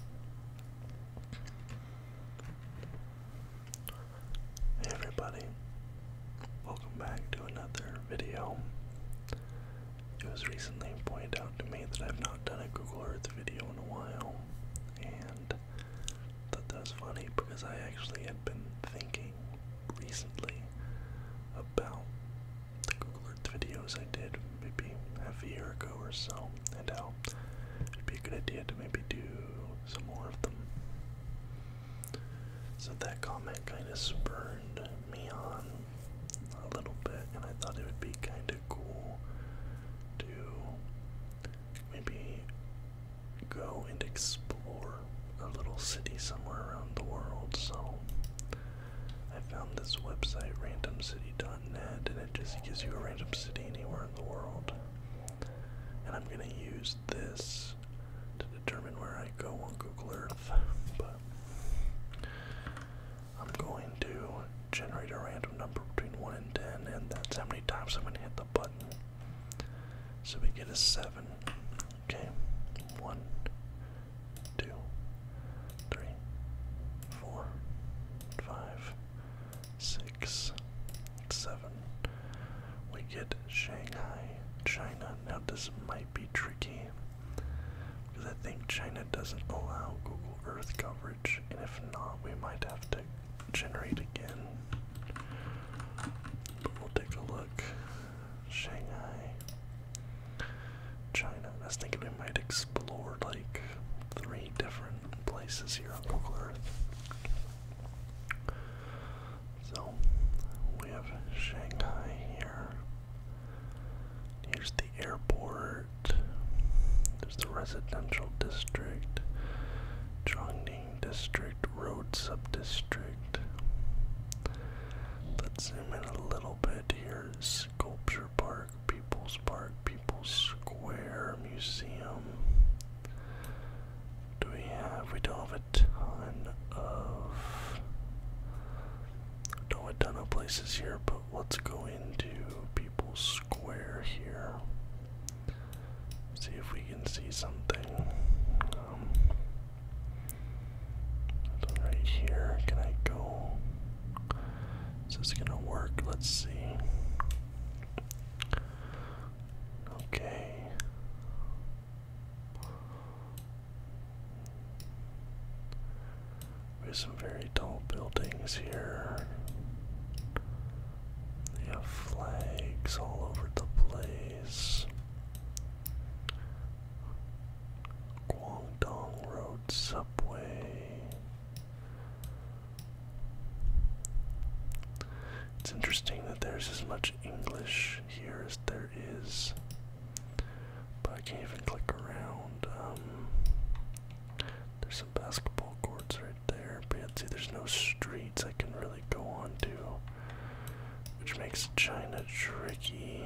Hey everybody, welcome back to another video. It was recently pointed out to me that I've not done a Google Earth video in a while, and I that was funny because I actually had been thinking recently about the Google Earth videos I did maybe half a year ago or so, and how it'd be a good idea to maybe do some more of them. So that comment kind of spurred me on a little bit, and I thought it would be kind of cool to maybe go and explore a little city somewhere around the world. So I found this website, randomcity.net, it just gives you a random city anywhere in the world. And I'm gonna use this to determine where I go on Google Earth, but I'm going to generate a random number between 1 and 10, and that's how many times I'm gonna hit the button. So we get a 7. Okay, 1, six, seven. We get Shanghai, China. Now, this might be tricky because I think China doesn't allow Google Earth coverage, and if not, we might have to generate again. But we'll take a look. Shanghai, China. I think we might explore like three different places here on local Earth. So we have Shanghai here. Here's the airport. There's the residential district, Chongqing district, road subdistrict. Let's zoom in a little bit here. Sculpture Park. People's Park, People's Square Museum. Do we have? We don't have a ton of. Don't have a ton of places here, but let's go into People's Square here. See if we can see something. Um, right here, can I go? Is this gonna work? Let's see. Okay. We have some very tall buildings here. They have flags all over the place. Guangdong Road Subway. It's interesting that there's as much English here as there is. But I can't even click around. Um, there's some basketball courts right there, but yeah, see, there's no streets I can really go onto, which makes China tricky.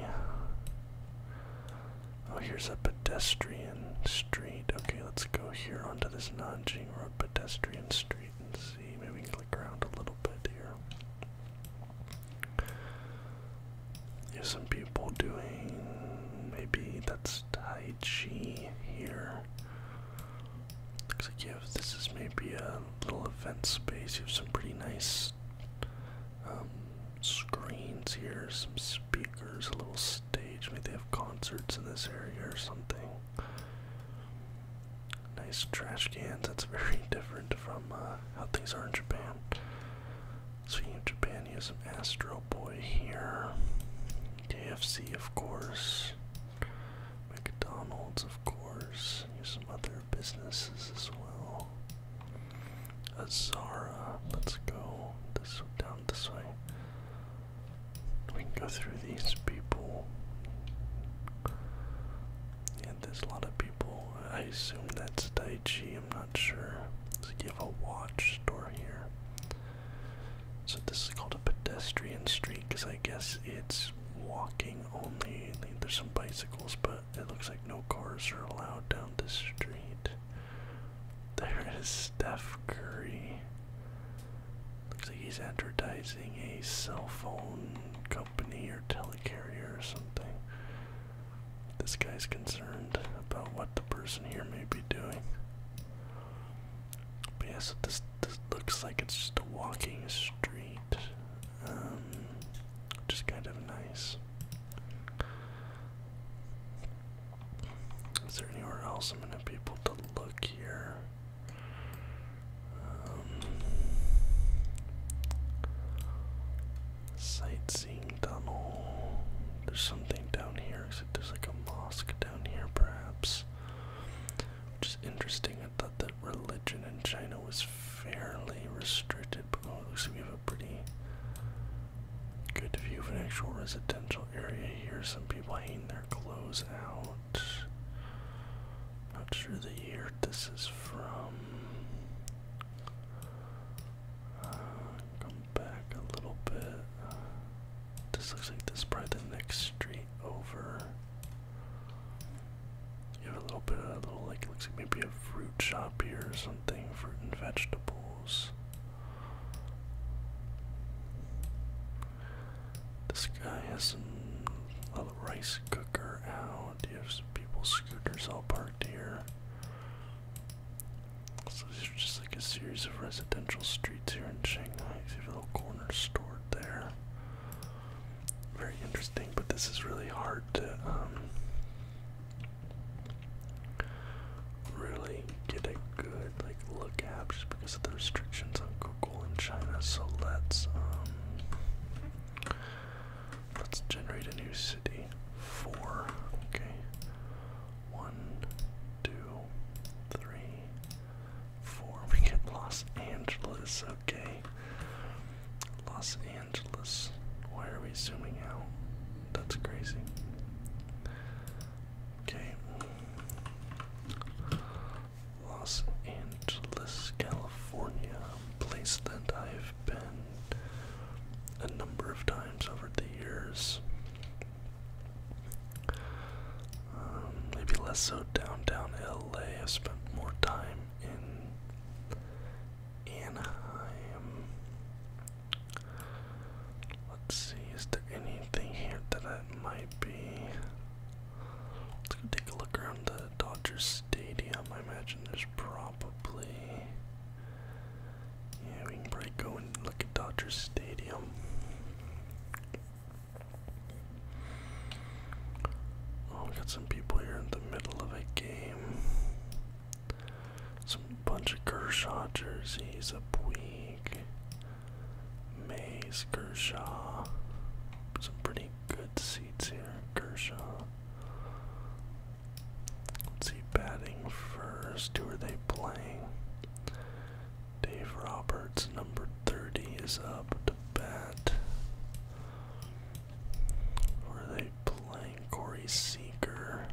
Oh, here's a pedestrian street. Okay, let's go here onto this Nanjing Road pedestrian street and see. Maybe we can click around a little bit here. There's some people doing. Maybe that's Tai Chi here. Looks like you have. This is maybe a little event space. You have some pretty nice um, screens here, some speakers, a little stage. Maybe they have concerts in this area or something. Nice trash cans. That's very different from uh, how things are in Japan. Speaking of Japan, you have some Astro Boy here. KFC, of course. McDonald's, of course. You have some other businesses as well. Azara. Let's go this down this way. We can go through these people. Yeah, there's a lot of people. I assume that's Daichi, I'm not sure. Let's give a watch store here. So this is called a pedestrian street because I guess it's walking only. There's some bicycles, but it looks like no cars are allowed down this street. There is Steph Curry. Looks like he's advertising a cell phone company or telecarrier or something. This guy's concerned about what the person here may be doing. But yeah, so this, this looks like it's just a walking street. Um, which is kind of nice. Is there anywhere else I'm gonna be able to look here? Um, sightseeing tunnel. There's something down here. Except there's like a mosque down here, perhaps. Which is interesting. I thought that religion in China was fairly restricted, but oh, it looks like we have a pretty Good view of an actual residential area here. Some people hang their clothes out. Not sure the year this is from. Uh, come back a little bit. this looks like this is probably the next street over. You have a little bit of a little like looks like maybe a fruit shop here or something, fruit and vegetables. This guy has a rice cooker out. He has people's scooters all parked here. So these just like a series of residential streets here in Shanghai. See a little corner stored there. Very interesting, but this is really hard to um, really get a good like look at just because of the restrictions on Google in China. So let's um, let's generate a new city. Four. Okay. One, two, three, four. We get Los Angeles, okay. Los Angeles. Why are we zooming out? That's crazy. Okay. Los Angeles, California, place that I've been a number of times over the years. Um, maybe less so downtown LA. I have spent more time in Anaheim. Let's see, is there anything here that it might be? Let's go take a look around the Dodgers Stadium. I imagine there's probably. Yeah, we can probably go and look at Dodgers Stadium. Oh, we got some people here in the middle of a game. Some bunch of Kershaw jerseys up week. Mays, Kershaw. Some pretty good seats here. Kershaw. Let's see, batting first. Who are they playing? Dave Roberts, number 30, is up to bat. Who are they playing? Corey Seager.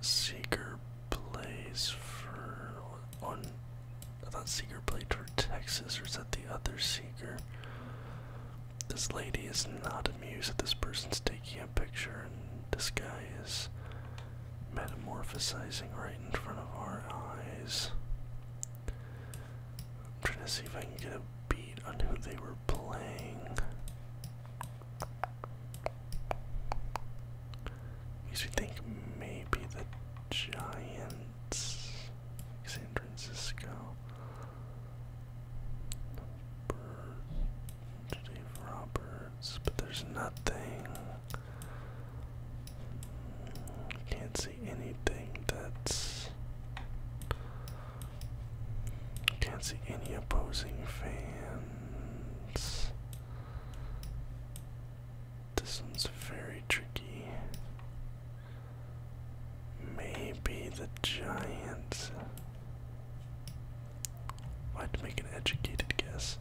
Seeger plays for on. I thought Seeger played for Texas, or is that the other Seeger? This lady is not amused that this person's taking a picture, and this guy is metamorphosing right in front of our eyes. I'm trying to see if I can get a beat on who they were playing. Because we think maybe the Giants, San Francisco, Dave Roberts, but there's nothing. Can't see anything that's can't see any opposing fans. This one's very tricky. Maybe the Giants. I'd well, make an educated guess.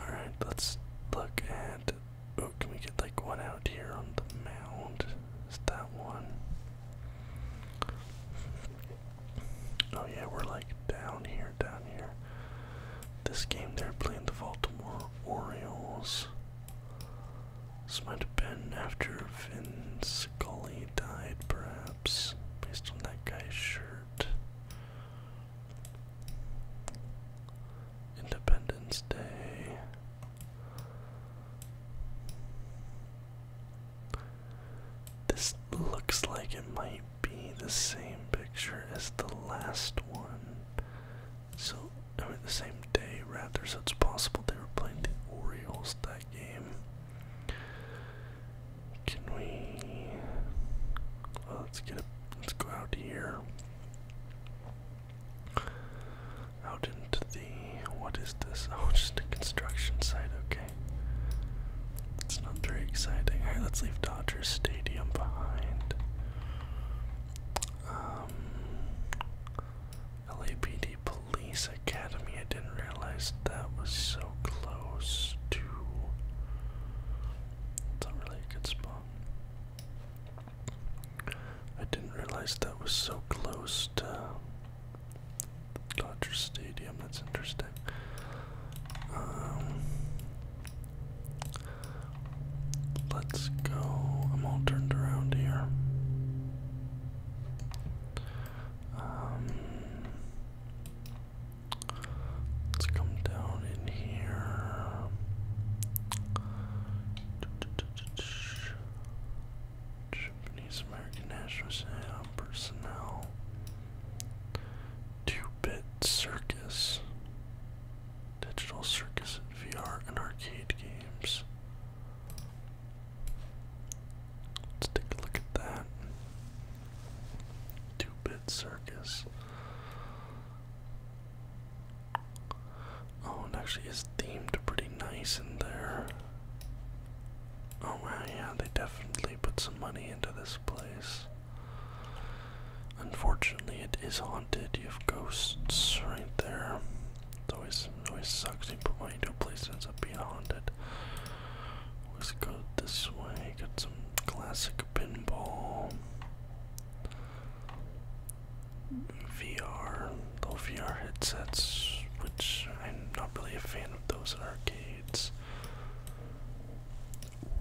Alright, let's look at. Oh, can we get like one out here on the mound? It's that one. Oh yeah, we're like down here, down here. This game they're playing the Baltimore Orioles. This might have been after Vin Scully died, perhaps, based on that guy's shirt. Independence Day. This looks like it might be the same picture as the last one. So, I the same day, rather, so it's possible they were playing the Orioles that game. Can we. let's get Let's go out here out into the what is this? Oh, just a construction site. Okay, it's not very exciting. All right, let's leave Dodger Stadium behind. Um, LAPD Police Academy. I didn't realize that was so close to. It's not really good spot. I didn't realize that was so close to Dodger Stadium, that's interesting. Um, let's go. I'm all turned around here. Um, let's come down in here. Japanese American National Museum personnel. Two-bit circus. Digital circus at VR and arcade games. Let's take a look at that. Two-bit circus. Oh, and actually it's themed pretty nice in there. Oh wow, yeah, they definitely put some money into this place. Unfortunately, it is haunted. You have ghosts right there. It always, always sucks. You put money into a place that ends up being haunted. Let's go this way. Got some classic pinball. VR the VR headsets, which I'm not really a fan of those arcades.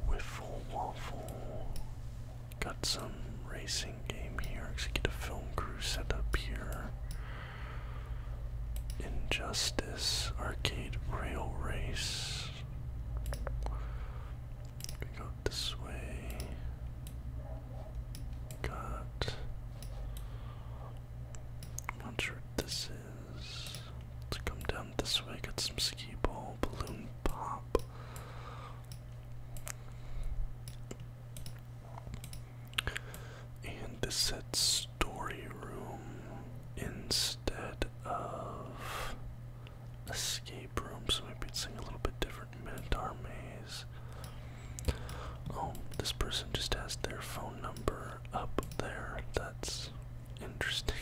Wiffle Waffle. Got some racing game here. Executive film crew set up here. Injustice arcade rail race. We go this way. Got I'm not sure what this is. Let's come down this way, get some ski ball, balloon pop. And this said story room instead of escape room, so maybe it's a little bit different. Minotaur maze. Oh, this person just has their phone number up there. That's interesting.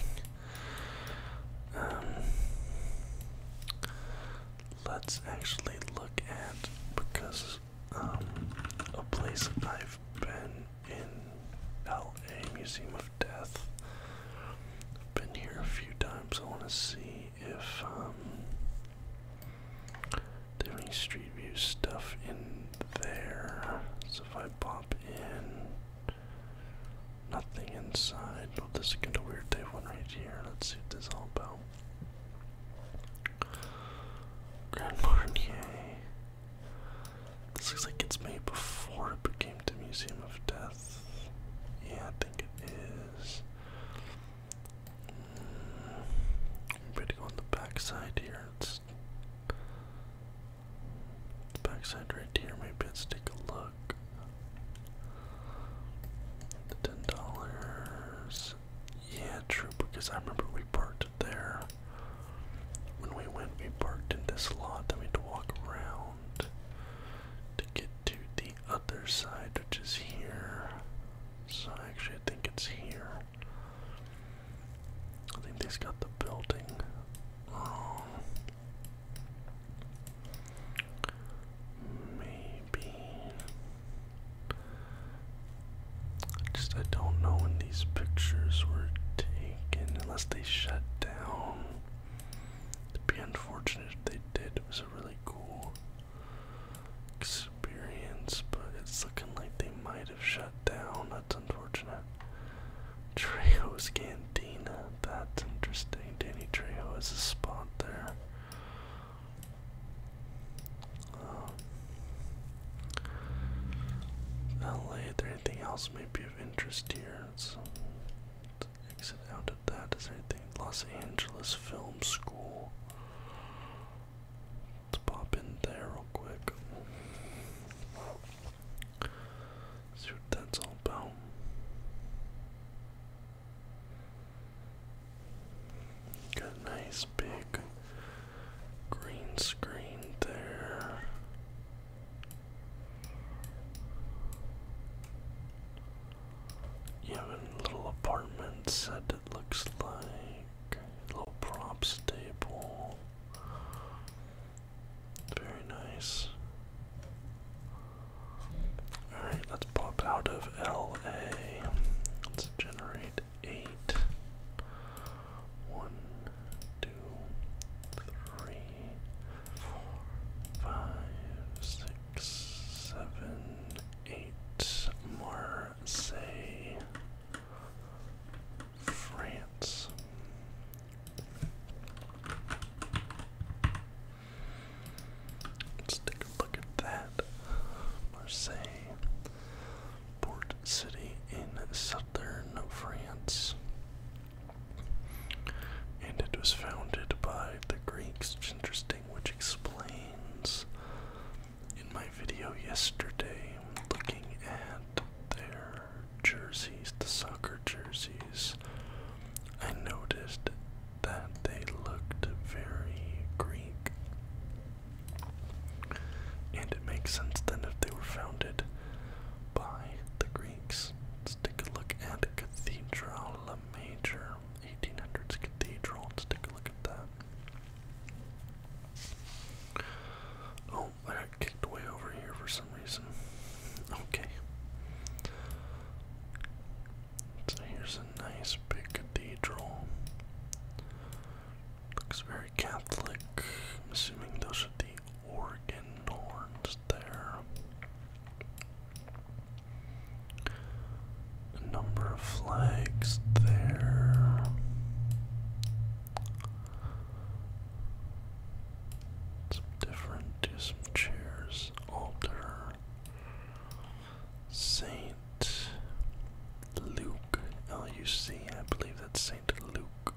Um, let's actually look at because um, a place I've been in LA Museum of Death. I've been here a few times. I want to see if um, Different Street View stuff in there. So if I pop in, nothing inside. But this is kind of weird. They have one right here. Let's see what this all about. Grand Marnier. This looks like it's made before it became the Museum of Death. Yeah, I think it is i on the back here. It's backside right here. Maybe let's take a look. The ten dollars. Yeah, true, because I remember we parked there. When we went, we parked in this lot that we had to walk around to get to the other side, which is here. So I actually, think it's here. I think they've got the building wrong. Maybe. Just I don't know when these pictures were taken, unless they shut down. it be unfortunate if they did. It was a really cool experience, but it's looking like they might have shut down. That's unfortunate. Trejo's Cantina. That's interesting. Danny Trejo has a spot there. Um, LA, is there anything else may be of interest here? let's exit out of that. Is there anything? Los Angeles Film School. Let's pop in there real quick. See what that's all about. Got a nice big green screen there. You a little apartment set, it looks like. Little props table. Very nice. Alright, let's pop out of LA. Let's generate eight. One, two, three, more say France. Let's take a look at that. Marseille, port city in southern France. And it was founded by the Greeks, interesting, which explains in my video yesterday looking at their jerseys, the soccer jerseys, I noticed that they looked very Greek. And it makes sense then if they were founded by the Greeks. Let's take a look at Cathedral La Major, 1800s Cathedral. Let's take a look at that. Oh, I got kicked way over here for some reason. Okay. So here's a nice big cathedral. Looks very Catholic. I'm assuming those are the organ horns there number of flags there. Some different, do some chairs, altar, Saint Luke, L-U-C, I believe that's Saint Luke.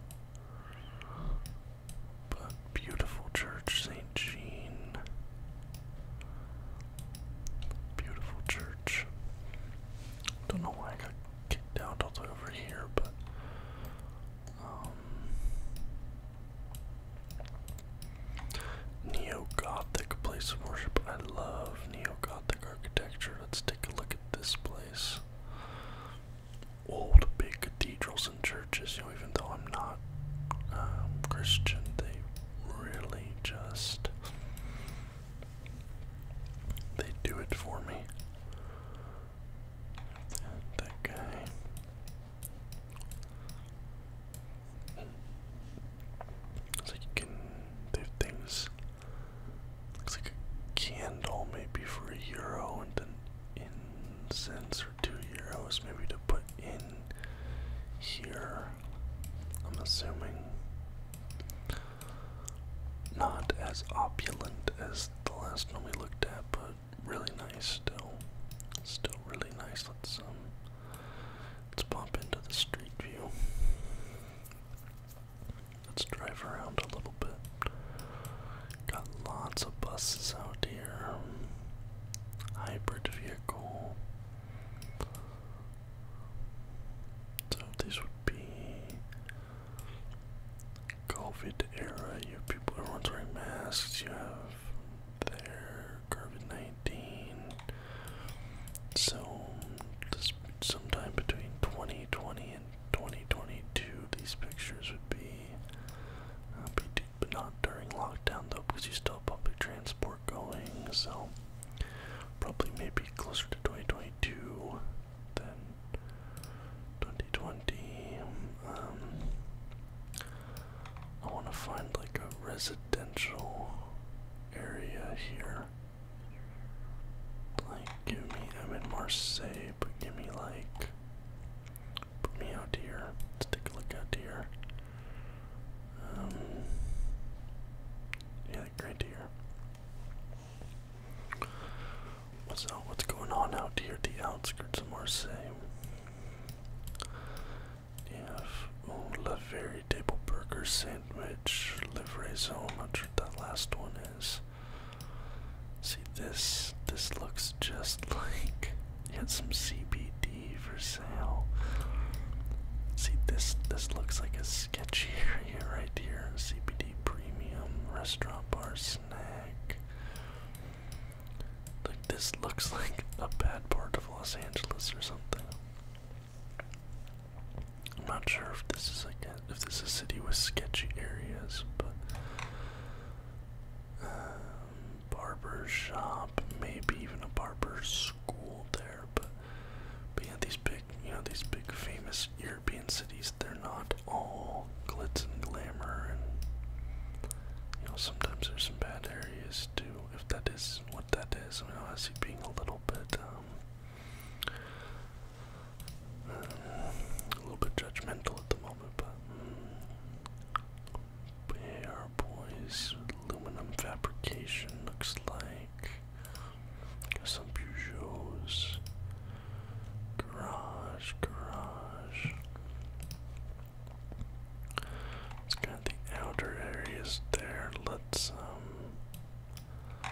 But beautiful church, Saint Jean. Beautiful church. Don't know why I got kicked out all the way over here, but um, Neo-Gothic place of worship. I love Neo-Gothic architecture. Let's take a look at this place. Old big cathedrals and churches, you know, even though I'm not um, Christian, they really just they do it for me. That guy. Looks like you can. They things. Looks like a candle maybe for a euro and then incense or two euros maybe to put in here. I'm assuming. Not as opulent as the last one we looked at, but really nice still. Still really nice. Let's um let's pop into the street view. Let's drive around a little bit. Got lots of buses out here. Hybrid vehicle. So this would be COVID era. You have people, everyone's wearing masks. You have their COVID nineteen. So this sometime between twenty twenty and twenty twenty two, these pictures would be, uh, be but not during lockdown though, because you still have public transport we're going, so probably maybe closer to 2022 than 2020. Um, I want to find like a residential area here. Like, give me, I'm in Marseille, but give me like, put me out here. Let's take a look out here. Um, yeah, great What's out? Uh, what's going on out here? The outskirts of Marseille. You have oh, La Very Table Burger Sandwich, Livraison. I'm not sure what that last one is. See this? This looks just like you some CBD for See this this looks like a sketchy area right here. CBD premium restaurant bar snack. Like this looks like a bad part of Los Angeles or something. I'm not sure if this is like a, if this is a city with sketchy areas, but um, barber shop, maybe even a barber school there, but but yeah, these big, you know, these big famous European cities, they're not all glitz and glamour, and you know, sometimes there's some bad areas too. If that is what that is, I mean, honestly, being a little bit, um, um a little bit judgmental at the moment, but. Mm, yeah, our boys, aluminum fabrication looks like. Got some Peugeots. Garage, garage. It's got the outer areas there. Let's um I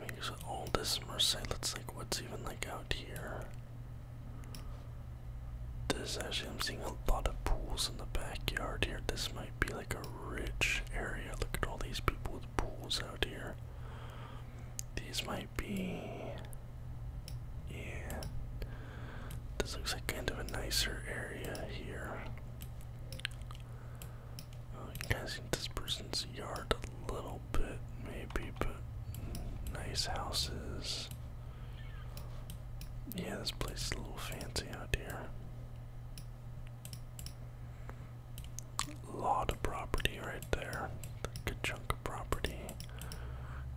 mean it's the oldest Marseille. like what's even like out here. This actually I'm seeing a lot of pools in the backyard here. This might be like a rich area. Look at all these people with pools out here. These might be. Yeah. This looks like kind of a nicer area here. Oh, you can kind this person's yard a little bit, maybe, but nice houses. Yeah, this place is a little fancy out here. Lot of property right there. Good chunk of property.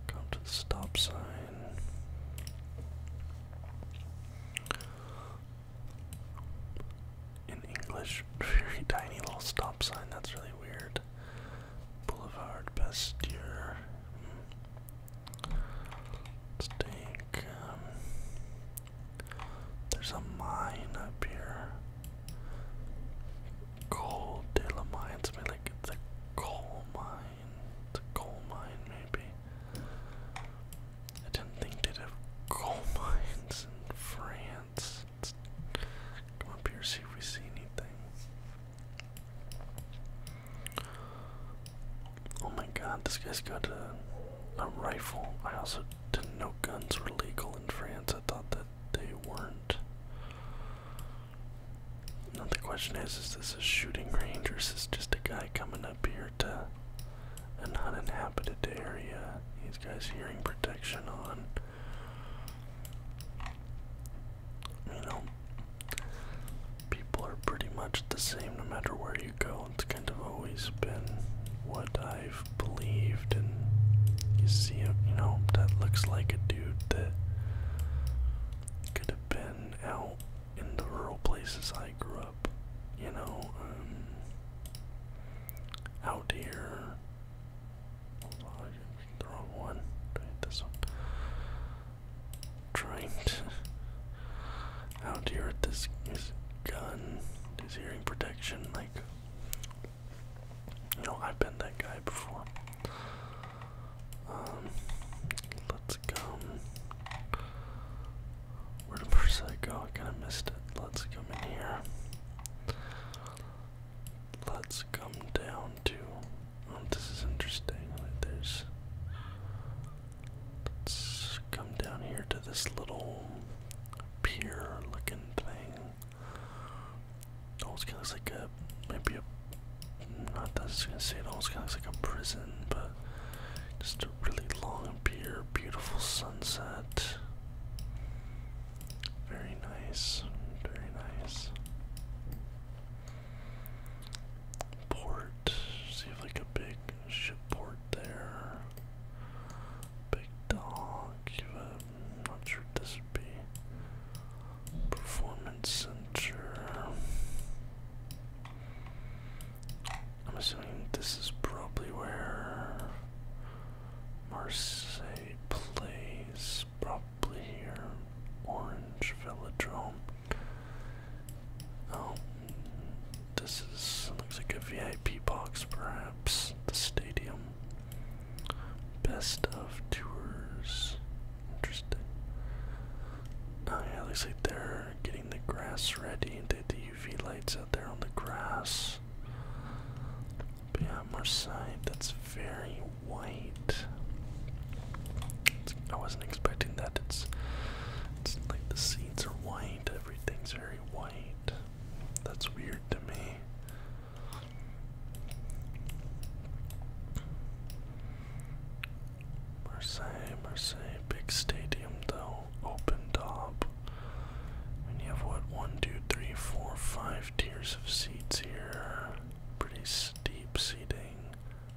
Come to the stop sign. In English, very tiny little stop sign. That's really weird. Boulevard Pasteur. Hmm. let there's a mine up here. Coal de la mine. like it's a coal mine. It's a coal mine maybe. I didn't think they'd have coal mines in France. come up here see if we see anything. Oh my god, this guy's got a, rifle. I also didn't know guns were legal in France. I thought that they weren't. Now the question is, is this a shooting range or is this just a guy coming up here to an uninhabited area? This guys hearing protection on. You know, people are pretty much the same no matter where you go know, it's kind of always been what I've believed, and you see him, uh, you know, that looks like a dude that could have been out in the rural places I grew up, you know, um, out here. Hold on, the wrong one. This one. Trying to out here this, this gun, this hearing protection, like, you know, I've been that guy before. Um, let's go. Where did I go? I kinda missed it. Let's come in here. Let's come down to. Oh, this is interesting. Like, There's Let's come down here to this little pier looking thing. Almost oh, kind of looks like a, maybe a, not that's going to say it almost kind of looks like a prison, but just a really long pier, beautiful sunset. Very nice, very nice. Port, see if like a big Shipport there. Big dog. I'm not sure this would be. Performance center. I'm assuming this is probably where Marseille plays. Probably here. Orange Velodrome. Oh, this is looks like a VIP box, perhaps. The stadium. Best of tours. Interesting. Oh yeah, looks like they're getting the grass ready. They had the UV lights out there on the grass. But our side, that's very white. I wasn't expecting that. It's it's like the seeds are white. Everything's very white. That's weird to me. Marseille, Marseille, big stadium though, open top. And you have what, one, two, three, four, five tiers of seats here. Pretty steep seating.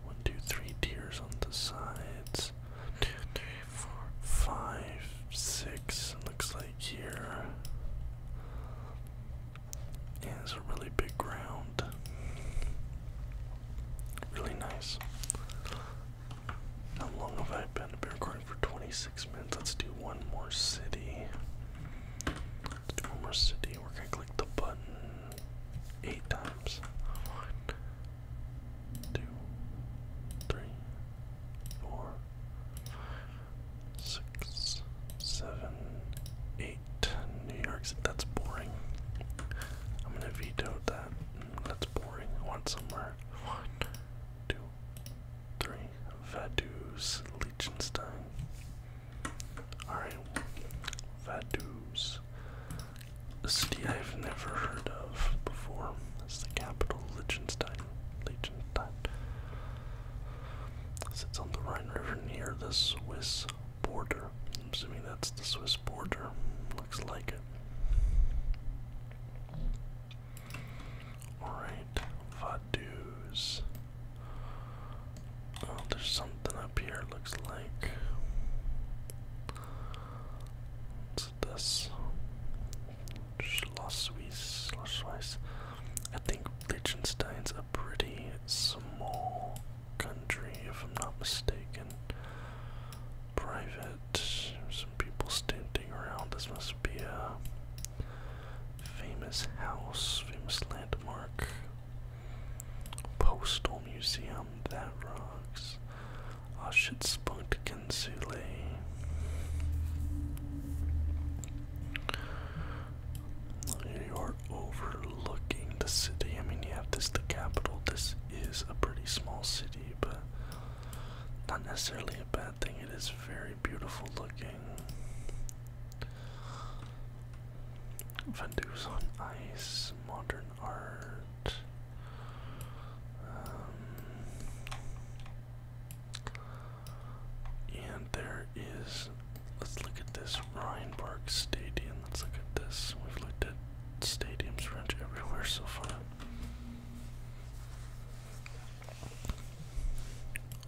One, two, three tiers on the sides four, five, six, looks like here. a really big ground. Really nice. How long have I been? I've been recording for 26 minutes. Let's do one more city. Let's do one more city. We're gonna click the button eight times two, three, four, six, seven, eight. New York's that's boring. I'm gonna veto that. That's boring. I want somewhere. One, two, three. Vaduz, Liechtenstein. Alright. Vaduz. A city I've never heard of before. It's the capital, Liechtenstein. Liechtenstein. Sits on the Rhine River near the Swiss border. I'm assuming that's the Swiss border. Looks like it. Alright, Vaduz. Oh, there's something up here, looks like pronounced this. Schlossweiss, Schlossweiss. I think Liechtenstein's a pretty small country, if I'm not mistaken. Private, some people standing around. This must be a famous house, famous landmark. Postal museum, that rocks. Oh shit, Spunk Kinsule. You are overlooking the city. I mean, you have this, the capital. This is a pretty small city, but not necessarily a bad thing. It is very beautiful looking. Vendus on ice, modern art. Um, and there is, let's look at this Rheinberg Stadium. Let's look at this. We've looked at stadiums around everywhere so far.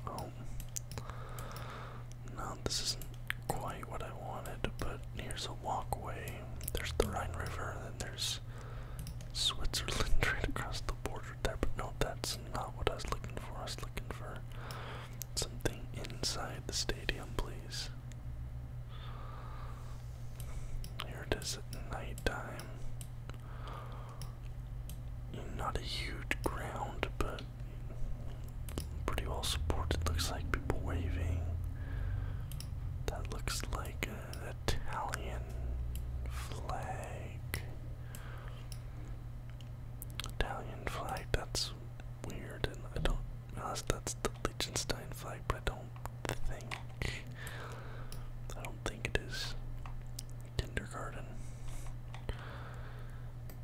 Oh. No, this isn't quite what I wanted, but here's a walkway there's the Rhine River, and then there's Switzerland right across the border there. But no, that's not what I was looking for. I was looking for something inside the stadium, please. Here it is at nighttime. Not a huge ground, but pretty well supported. Looks like people waving. That looks like an Italian flag. Italian flag, that's weird, and I don't, unless that's the Liechtenstein flag, but I don't think, I don't think it is kindergarten.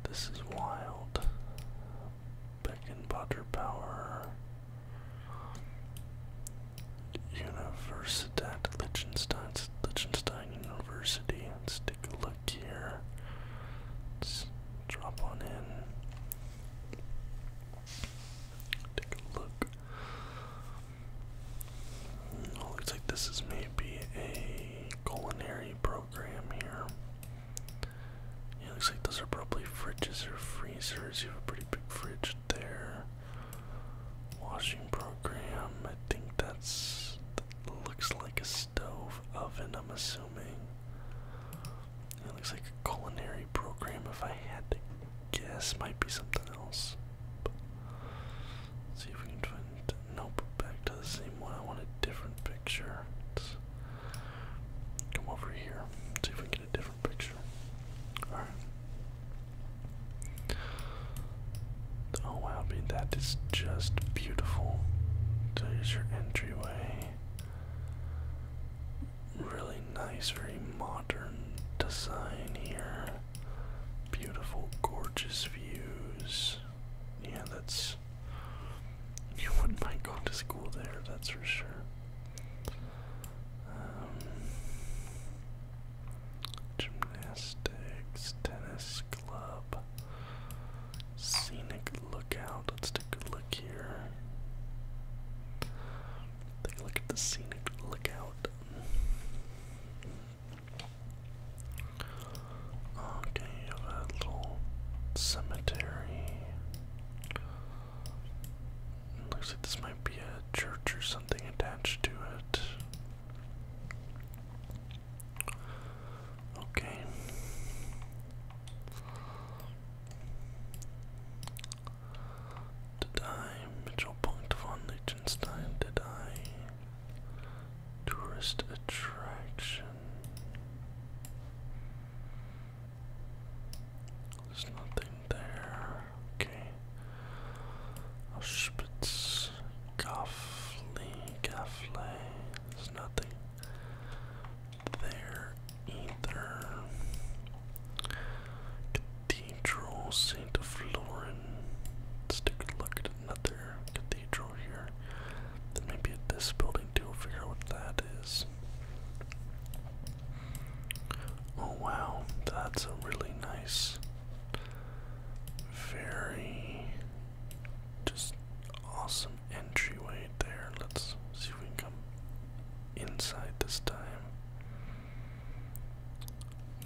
This is wild. Beck and Potter Power. Universitat Liechtenstein, Liechtenstein University. Let's take a look here. Let's drop on in. Take a look. looks like this is maybe a culinary program here. It looks like those are probably fridges or freezers. You have a pretty big fridge there. Washing program. I think that's looks like a stove oven. I'm assuming. It looks like a culinary program. If I had to guess, might be something else. let's see if we can find. Nope, back to the same one. I want a different picture. come over here. See if we Oh wow, I that is just beautiful. So your entryway. Really nice, very modern design here. Beautiful, gorgeous views. Yeah, that's. You wouldn't mind going to school there, that's for sure gymnastics, tennis club, scenic lookout. Let's take a look here. Take a look at the scenic lookout. Okay, you have a little cemetery. Looks like this might be a church or something attached to it. Okay. Did I? Mitchell Punkt Liechtenstein, did I? Tourist attraction. There's nothing there. Okay. Auschwitz, Goffley, Gaffley. There's nothing there either. Cathedral, Saint Florin. Let's take a look at cathedral here. Then maybe this building too. figure out what that is. Oh wow, that's a really nice, very just awesome entryway there. Let's see if we can come inside this time.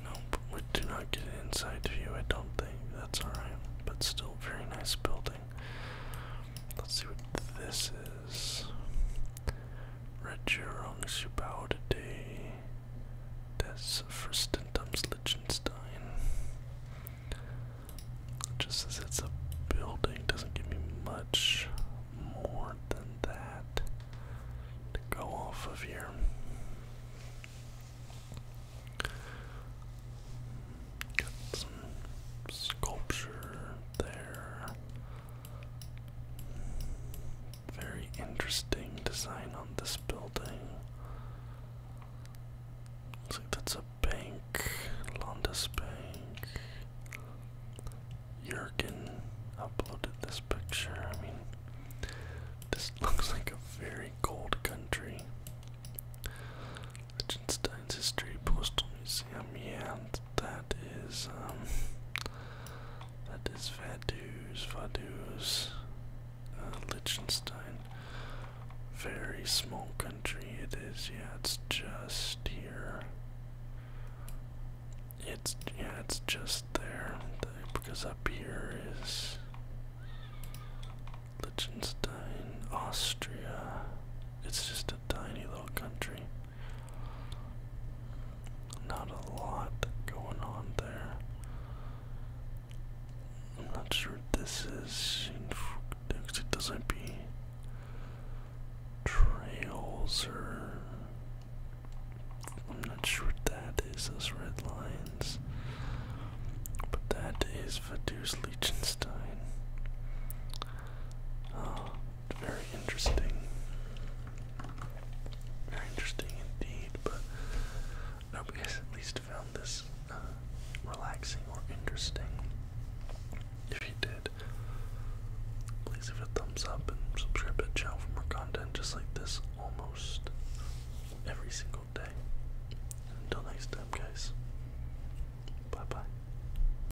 Nope, we do not get an inside view, I don't think. That's alright, but still very nice building. Let's see what this is that's a Regierung Zubaude des Fürstentums Liechtenstein. Just says it's a building, doesn't give me much more than that to go off of here. Got some sculpture there. Very interesting design on this building. Looks like that's a bank, Landesbank. Jurgen uploaded this picture. I mean, this looks like a very cold country. Liechtenstein's History Postal Museum, yeah, that is um that is Vaduz, Vaduz, uh, Liechtenstein. Very small country it is, yeah, it's just here. It's yeah, it's just there. Because up here is Liechtenstein, Austria. It's just a tiny little country. Not a lot going on there. I'm not sure what this is. It doesn't be trails or. I'm not sure what that is, those red lines. But that is Vaduz Liechtenstein. Oh, very interesting. Very interesting indeed, but I hope you guys at least found this uh, relaxing or interesting. If you did, please give a thumbs up and subscribe to the for more content just like this almost every single day. until next time, guys, bye bye.